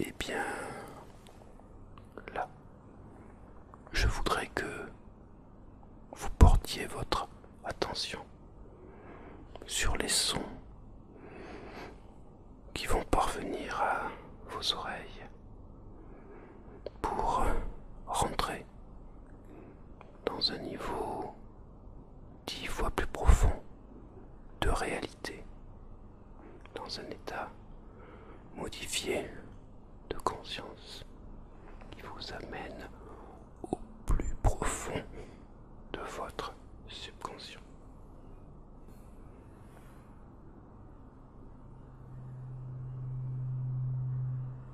Eh bien, là, je voudrais que vous portiez votre attention sur les sons qui vont parvenir à vos oreilles pour rentrer dans un niveau dix fois plus profond de réalité, dans un état modifié de conscience qui vous amène au plus profond de votre subconscient.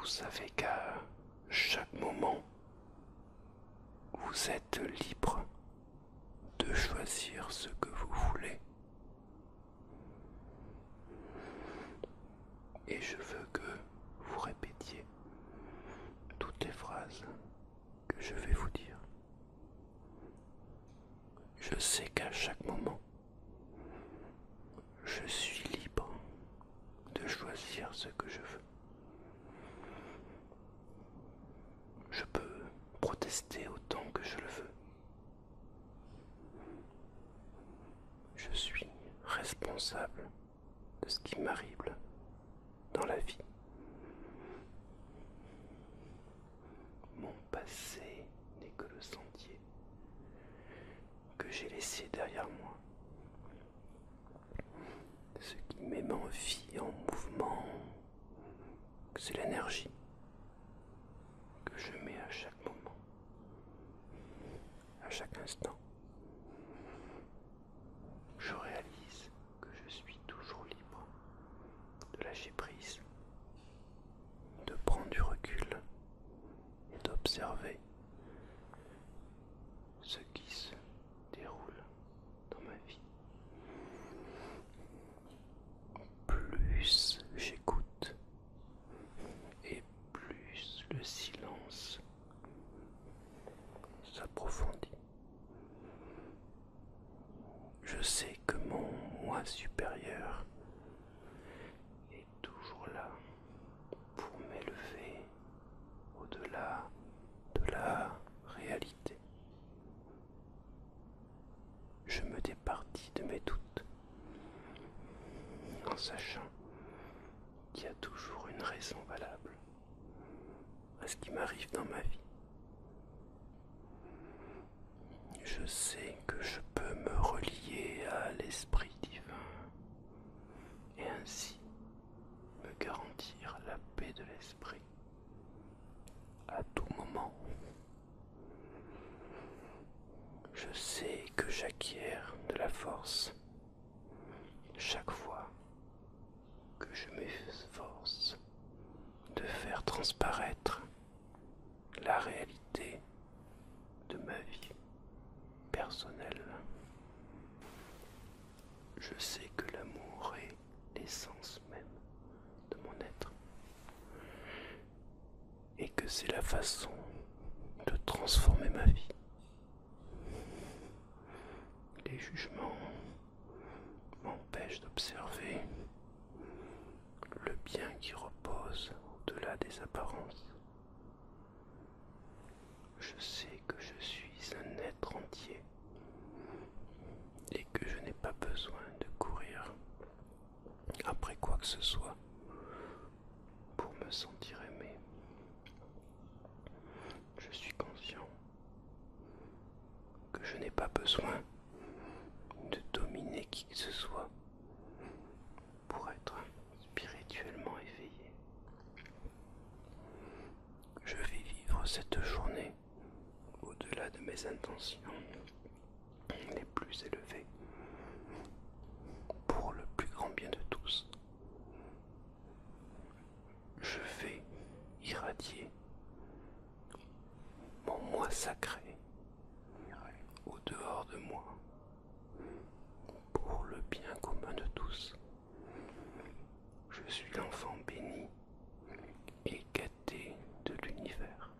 Vous savez qu'à chaque moment, vous êtes libre de choisir ce que vous voulez. Et je veux que vous répétiez toutes les phrases que je vais vous dire. Je sais qu'à chaque moment, je suis libre de choisir ce que je veux. Je peux protester autant que je le veux. Je suis responsable de ce qui m'arrive dans la vie. Mon passé n'est que le sentier que j'ai laissé derrière moi. Ce qui met en vie, en mouvement, c'est l'énergie que je mets à chaque moment, à chaque instant. Je réalise que je suis toujours libre de lâcher prise, de prendre du recul et d'observer ce qui se déroule dans ma vie, plus j'écoute et plus le silence s'approfondit. Je sais que mon moi supérieur est toujours là pour m'élever au-delà de la réalité. Je me départis de mes doutes en sachant qu'il y a toujours une raison valable à ce qui m'arrive dans ma vie. Je sais que je peux me relier à l'Esprit divin et ainsi me garantir la paix de l'esprit à tout moment. Je sais que j'acquiers de la force chaque fois que je m'efforce de faire transparaître la réalité de ma vie personnel. Je sais que l'amour est l'essence même de mon être et que c'est la façon de transformer ma vie. Les jugements m'empêchent d'observer le bien qui repose au-delà des apparences. Je sais que je suis un être entier et que je n'ai pas besoin de courir après quoi que ce soit pour me sentir aimé. Je suis conscient que je n'ai pas besoin de dominer qui que ce soit pour être spirituellement éveillé. Je vais vivre cette journée au-delà de mes intentions les plus élevées pour le plus grand bien de tous. Je vais irradier mon moi sacré au dehors de moi pour le bien commun de tous. Je suis l'enfant béni et gâté de l'univers.